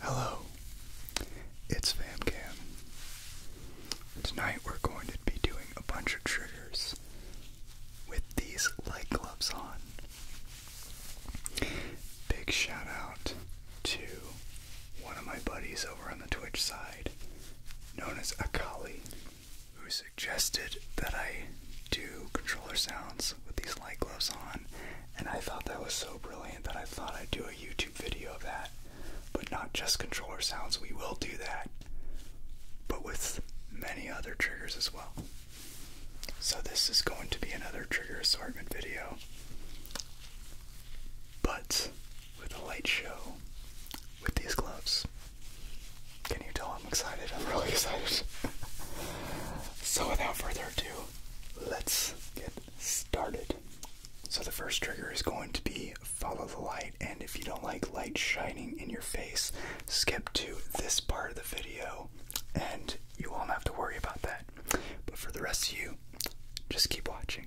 Hello, it's FamCam. Tonight we're going to be doing a bunch of triggers with these light gloves on. Big shout out to one of my buddies over on the Twitch side known as Akali, who suggested that I do controller sounds with these light gloves on, and I thought that was so brilliant that I thought I'd do a YouTube video of that. But not just controller sounds, we will do that, but with many other triggers as well. So, this is going to be another trigger assortment video. But with a light show with these gloves. Can you tell I'm excited? I'm really excited. so, without further ado, let's get started. So, the first trigger is going to be follow the light, and if you don't like light shining in your face, skip to this part of the video and you won't have to worry about that. But for the rest of you, just keep watching.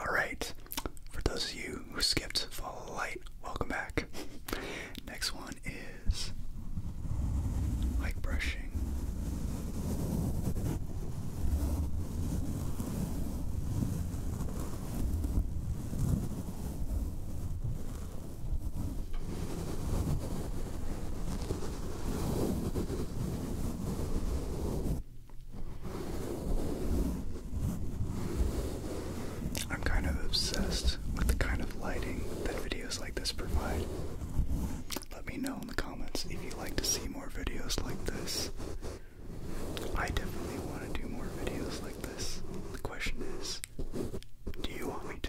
Alright, for those of you who skipped Fall of Light, welcome back. Next one is like brush I'm kind of obsessed with the kind of lighting that videos like this provide. Let me know in the comments if you'd like to see more videos like this. I definitely want to do more videos like this. The question is, do you want me to?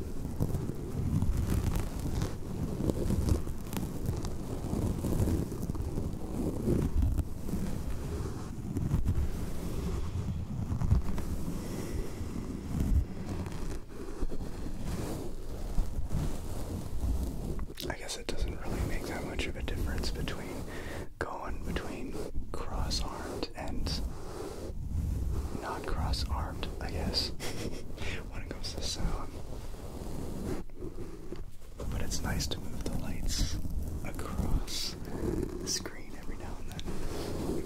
I guess it doesn't really make that much of a difference between going between cross armed and non-cross-armed, I guess, when it comes to sound. But it's nice to move the lights across the screen every now and then.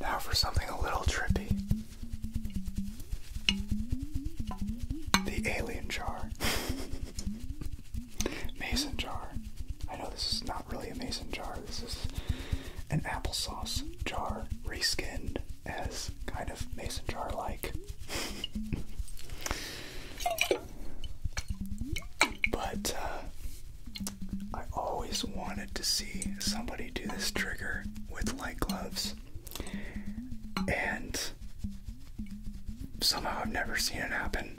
Now for something a little trippy. The alien jar. mason jar. I know this is not really a mason jar, this is an applesauce jar reskinned as kind of mason jar like. but uh, I always wanted to see somebody do this trigger with light gloves. And somehow I've never seen it happen.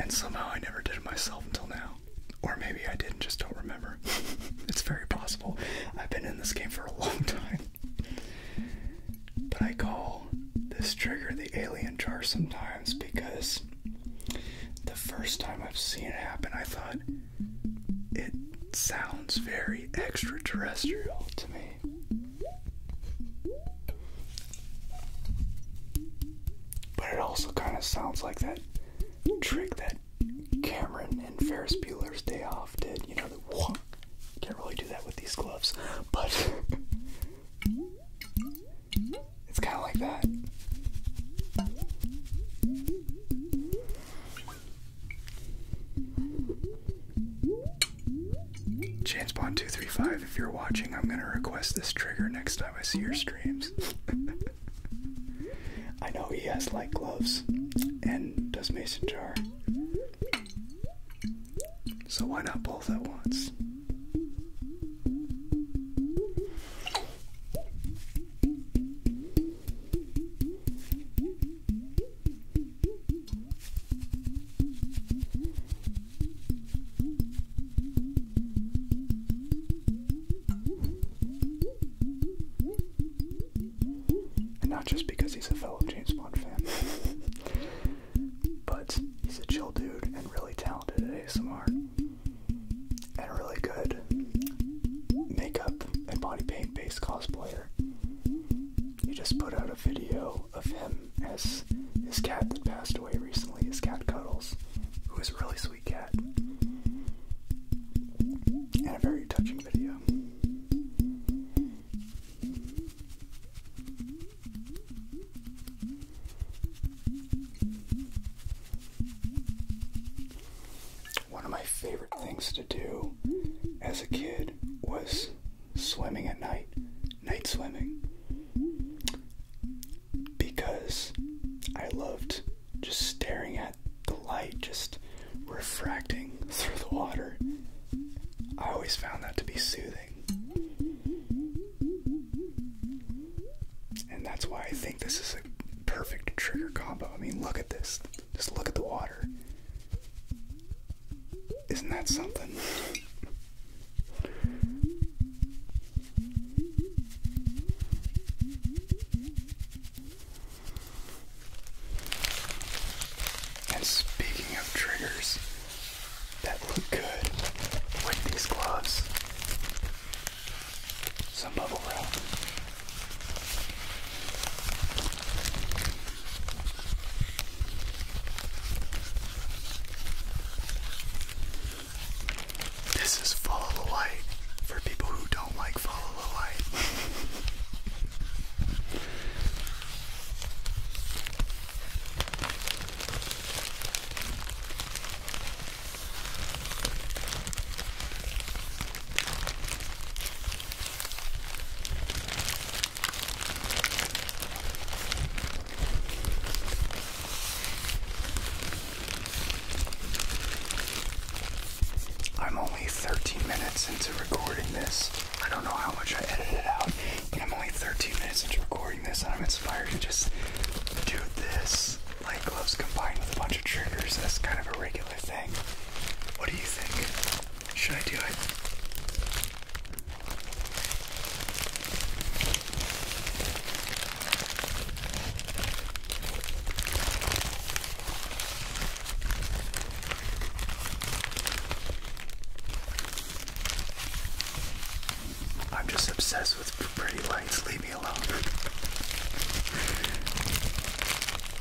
And somehow I never did it myself until now. Or maybe I did and just don't remember. it's very possible. I've been in this game for a long time. But I call this trigger the alien jar sometimes because the first time I've seen it happen, I thought it sounds very extraterrestrial to me. But it also kind of sounds like that trick that Cameron and Ferris Bueller's Day Off did. You know, the whoop. Can't really do that with these gloves, but it's kind of like that. Chancepawn235, if you're watching, I'm gonna request this trigger next time I see your streams. I know he has light gloves and does mason jar. So why not both at once? And not just because he's a fellow James Bond fan, but he's a chill dude and really talented at ASMR. And a really good makeup and body paint based cosplayer. He just put out a video of him as his cat that passed away recently, his cat Cuddles, who is a really sweet cat. And a very touching video. One of my favorite things to do as a kid was swimming at night, night swimming, because I loved just staring at the light, just refracting through the water. I always found that to be soothing. And that's why I think this is a perfect trigger combo. I mean, look at this. Just look at the water. Isn't that something? and speaking of triggers that look good with these gloves, some bubble wrap. This is follow the light for people who don't like follow the light. I'm only 13 minutes into recording this. I don't know how much I edited out, but I'm only 13 minutes into recording this, and I'm inspired to just do this. Light gloves combined with a bunch of triggers. That's kind of a regular regular thing. What do you think? Should I do it? I'm just obsessed with pretty lights. Leave me alone.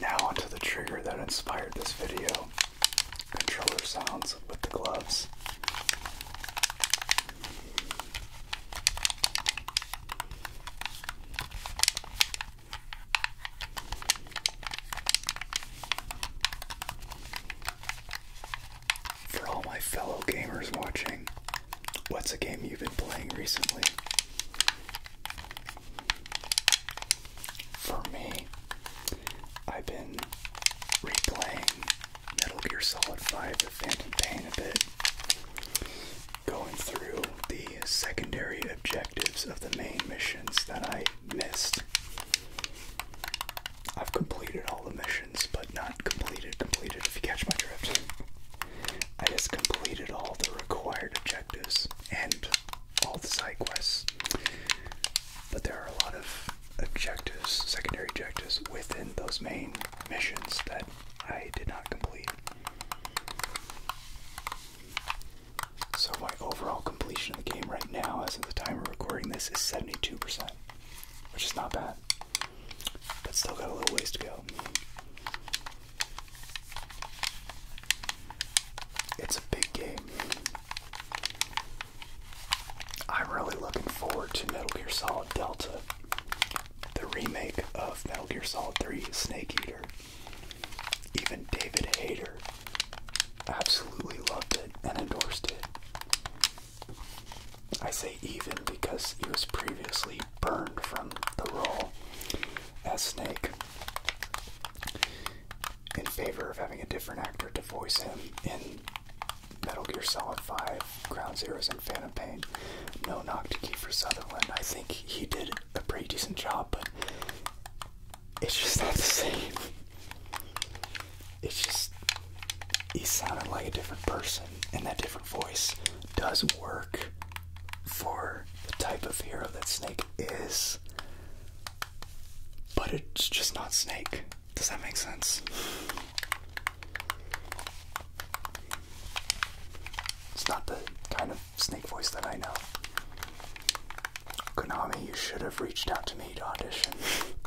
Now onto the trigger that inspired this video. Controller sounds with the gloves. For all my fellow gamers watching, what's a game you've been playing recently? For me, I've been replaying Metal Gear Solid 5 The Phantom Pain a bit, going through the secondary objectives of the main missions that I missed. I've completed all the missions, but not completed, completed, if you catch my drift. I just completed all the required objectives and all the side quests. But there are a lot of objectives, secondary objectives, within those main missions that I did not complete. So my overall completion of the game right now, as of the time we're recording this, is 72%, which is not bad but still got a little ways to go. It's a big game. I'm really looking forward to Metal Gear Solid Delta, the remake of Metal Gear Solid 3 Snake Eater. Even David Hayter absolutely loved it and endorsed it. I say even because he was previously burned from the role as Snake in favor of having a different actor to voice him in Metal Gear Solid 5, Ground Zeroes, and Phantom Pain. No knock to Kiefer Sutherland. I think he did a pretty decent job, but it's just not the same it's just he sounded like a different person, and that different voice does work for the type of hero that Snake is. But it's just not Snake. Does that make sense? It's not the kind of Snake voice that I know. Konami, you should have reached out to me to audition.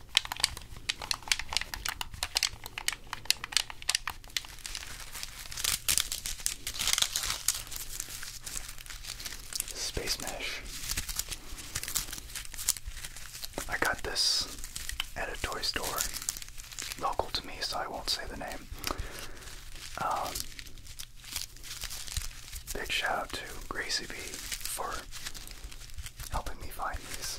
Space Mesh. I got this at a toy store local to me, so I won't say the name. Um, big shout out to Gracie B for helping me find these.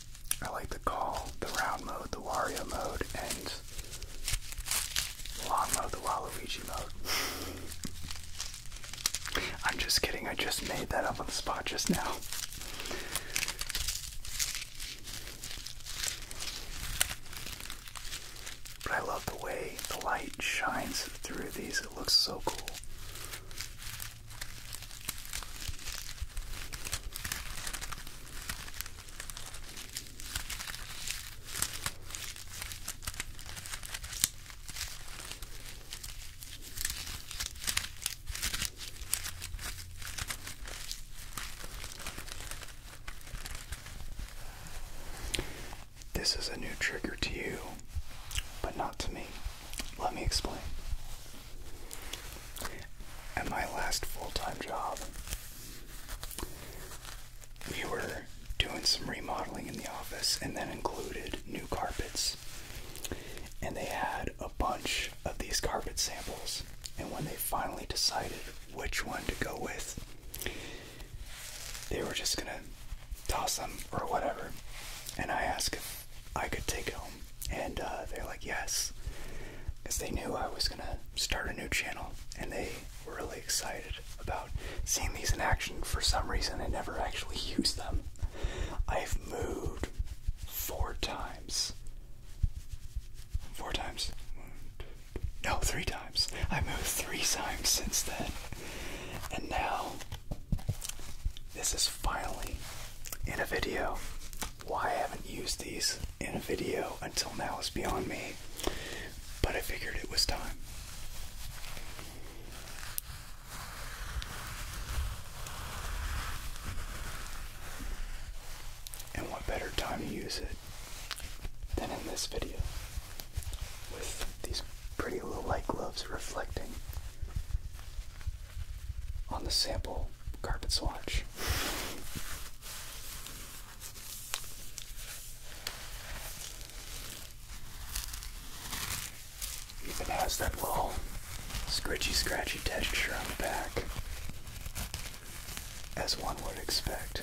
I like to call the round mode the Wario mode and long mode the Waluigi mode. I'm just kidding, I just made that up on the spot just now. But I love the way the light shines through these, it looks so cool. This is a new trigger to you, but not to me. Let me explain. At my last full time job, we were doing some remodeling in the office and that included new carpets. And they had a bunch of these carpet samples. And when they finally decided which one to go with, they were just gonna toss them or whatever. And I asked I could take home. And uh, they're like, yes. Because they knew I was going to start a new channel. And they were really excited about seeing these in action. For some reason, I never actually used them. I've moved four times. Four times? No, three times. I moved three times since then. And now, this is finally in a video. Why I haven't used these in a video until now is beyond me, but I figured it was time. And what better time to use it than in this video with these pretty little light gloves reflecting on the sample carpet swatch. Even has that little scritchy scratchy texture on the back, as one would expect.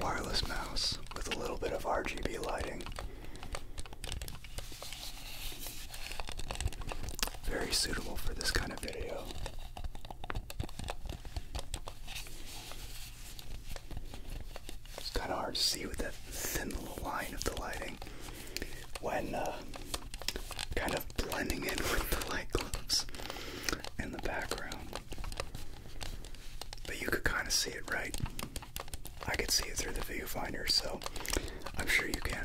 Wireless mouse with a little bit of RGB lighting. Very suitable for this kind of video. It's kind of hard to see with that thin little line of the lighting when uh, kind of blending in with the light bulbs in the background. But you could kind of see it, right? I could see it through the viewfinder, so I'm sure you can.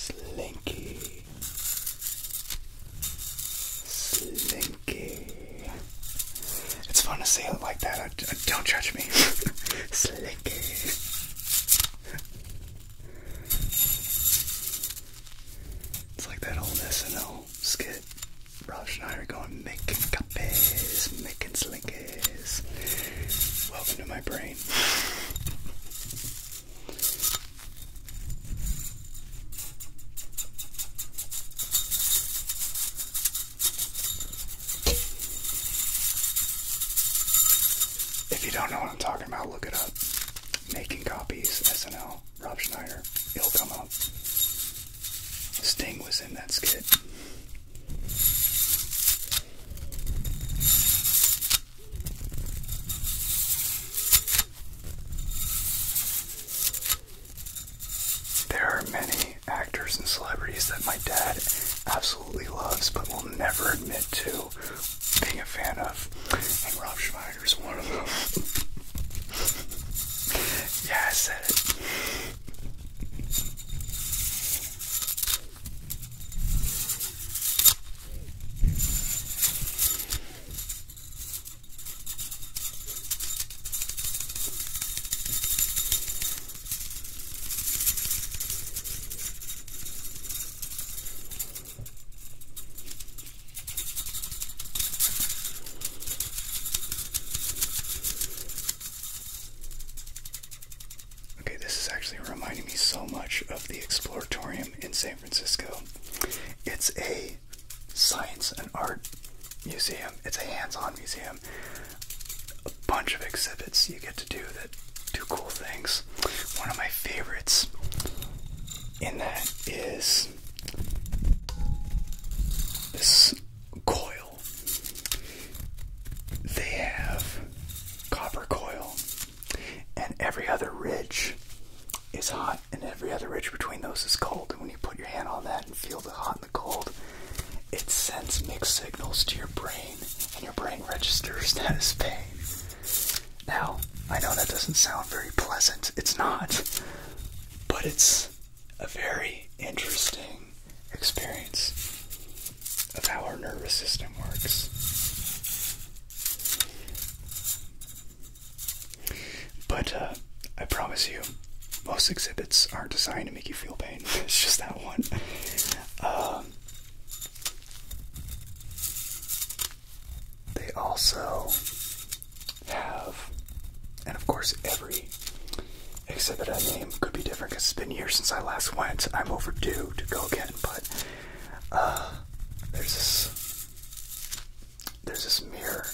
Slinky, slinky. It's fun to say it like that. don't judge me. slinky. It's like that old SNL little skit. and I are going making copies, making slinkies. Welcome to my brain. If you don't know what I'm talking about, look it up. Making copies, SNL. Rob Schneider. he will come up. Sting was in that skit. There are many actors and celebrities that my dad absolutely loves but will never admit to being a fan of. And Rob Schneider there's one of them. yeah, I said it. Okay, this is actually reminding me so much of the Exploratorium in San Francisco. It's a science and art museum, it's a hands on museum. A bunch of exhibits you get to do that do cool things. One of my favorites in that is this coil. They have copper coil, and every other ridge is hot, and every other ridge between those is cold. And when you put your hand on that and feel the hot and the cold, it sends mixed signals to your brain, and your brain registers that as pain. Now, I know that doesn't sound very pleasant. It's not. But it's a very interesting experience of how our nervous system works. But uh, I promise you, most exhibits aren't designed to make you feel pain. It's just that one. Um, they also have, and of course, every exhibit I name could be different because it's been years since I last went. I'm overdue to go again, but uh, there's there's this mirror,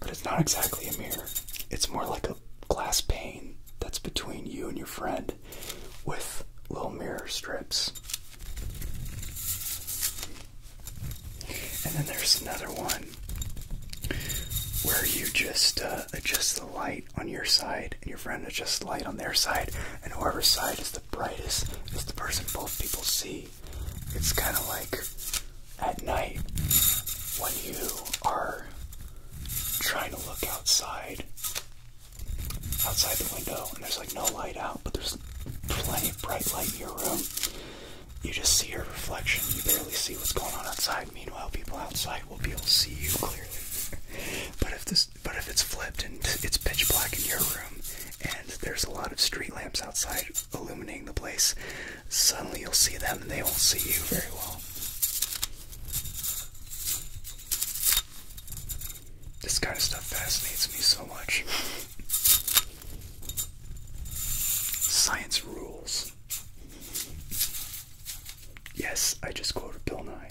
but it's not exactly a mirror. It's more like a glass pane that's between you and your friend with little mirror strips. And then there's another one where you just uh, adjust the light on your side and your friend adjusts the light on their side, and whoever's side is the brightest is the person both people see. It's kind of like at night when you are trying to look outside outside the window and there's like no light out but there's plenty of bright light in your room. You just see your reflection. You barely see what's going on outside. Meanwhile, people outside will be able to see you clearly. but if this, but if it's flipped and it's pitch black in your room, and there's a lot of street lamps outside illuminating the place, suddenly you'll see them and they won't see you very well. This kind of stuff fascinates me so much. Science rules. Yes, I just quoted Bill Nye.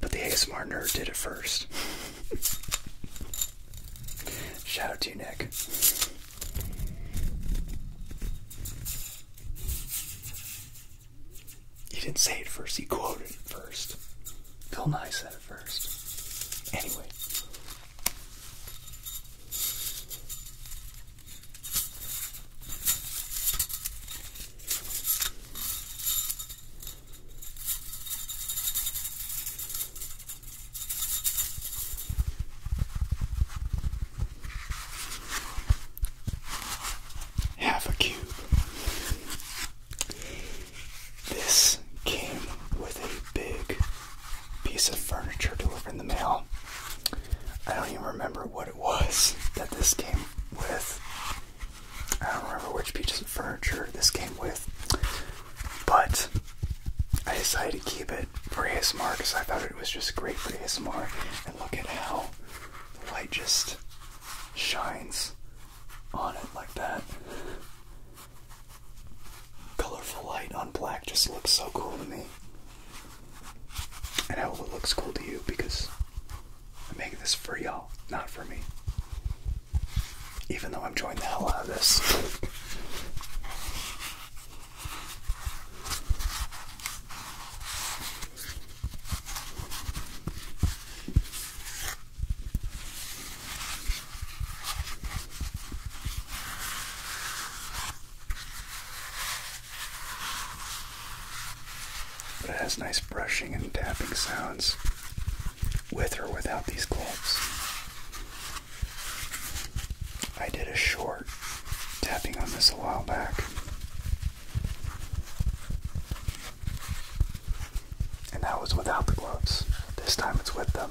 But the ASMR nerd did it first. Shout out to you, Nick. He didn't say it first, he quoted it first. Bill Nye said that at first. Anyway. Half a cube. This came with a big piece of furniture delivered in the mail. I don't even remember what it was that this came with. I don't remember which piece of furniture this came with, but I decided to keep it for his mark because I thought it was just great for his mark. And look at how the light just shines on it like that. Colorful light on black just looks so cool to me. And I hope it looks cool to you because I'm making this for y'all, not for me. Even though I'm enjoying the hell out of this. But it has nice brushing and tapping sounds with or without these gloves. I did a short tapping on this a while back. And that was without the gloves. This time it's with them.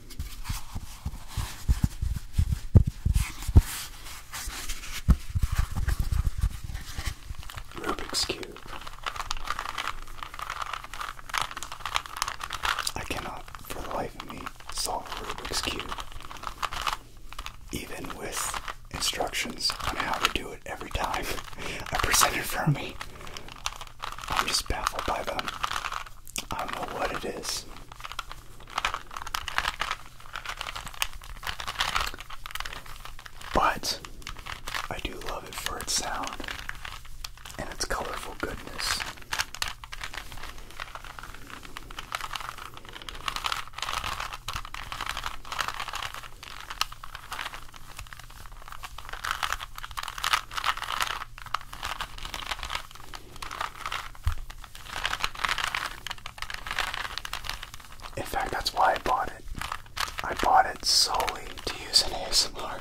Rubik's Cube. I cannot, for the life of me, solve Rubik's Cube. Even with instructions on how to do it every time I present it for me, I'm just baffled by them. I don't know what it is. But I do love it for its sound and its colorful goodness. In fact, that's why I bought it. I bought it solely to use in ASMR.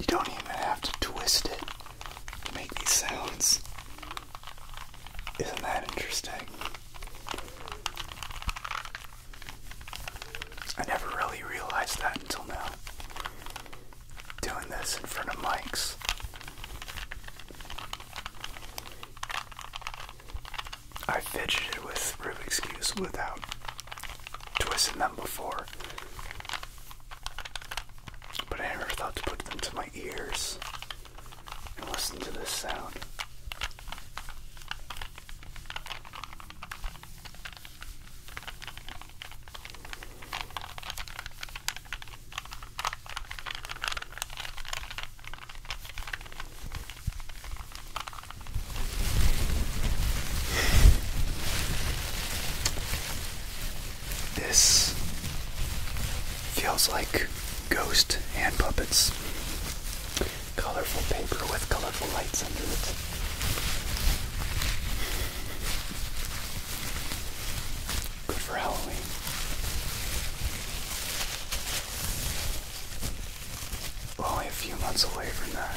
You don't even have to twist it to make these sounds. Isn't that interesting? I never really realized that until now doing this in front of mics. I fidgeted with Rubik's Cubes without twisting them before, but I never thought to put them to my ears and listen to this sound. This feels like ghost hand puppets. Colorful paper with colorful lights under it. Good for Halloween. We're only a few months away from that.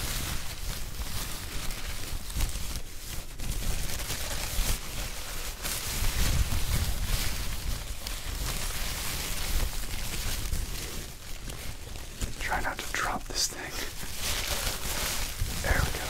Try not to drop this thing. There we go.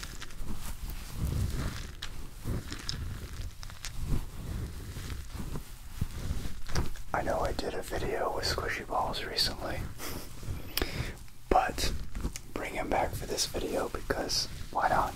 I know I did a video with squishy balls recently, but bring him back for this video because why not?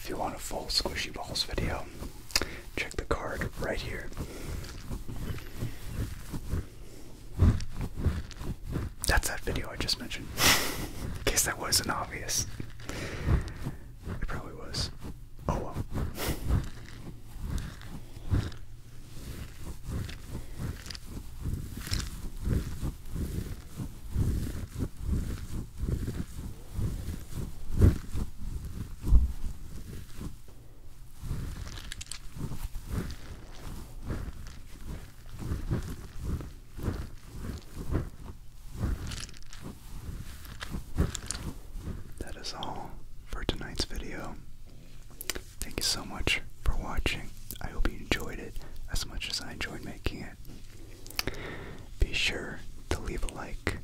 If you want a full squishy balls video, check the card right here. That's that video I just mentioned. In case that wasn't obvious. It probably was. Oh well. That is all for tonight's video. Thank you so much for watching. I hope you enjoyed it as much as I enjoyed making it. Be sure to leave a like,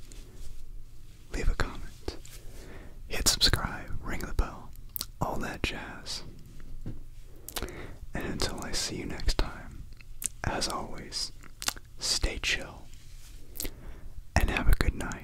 leave a comment, hit subscribe, ring the bell, all that jazz. And until I see you next time, as always, Stay chill and have a good night.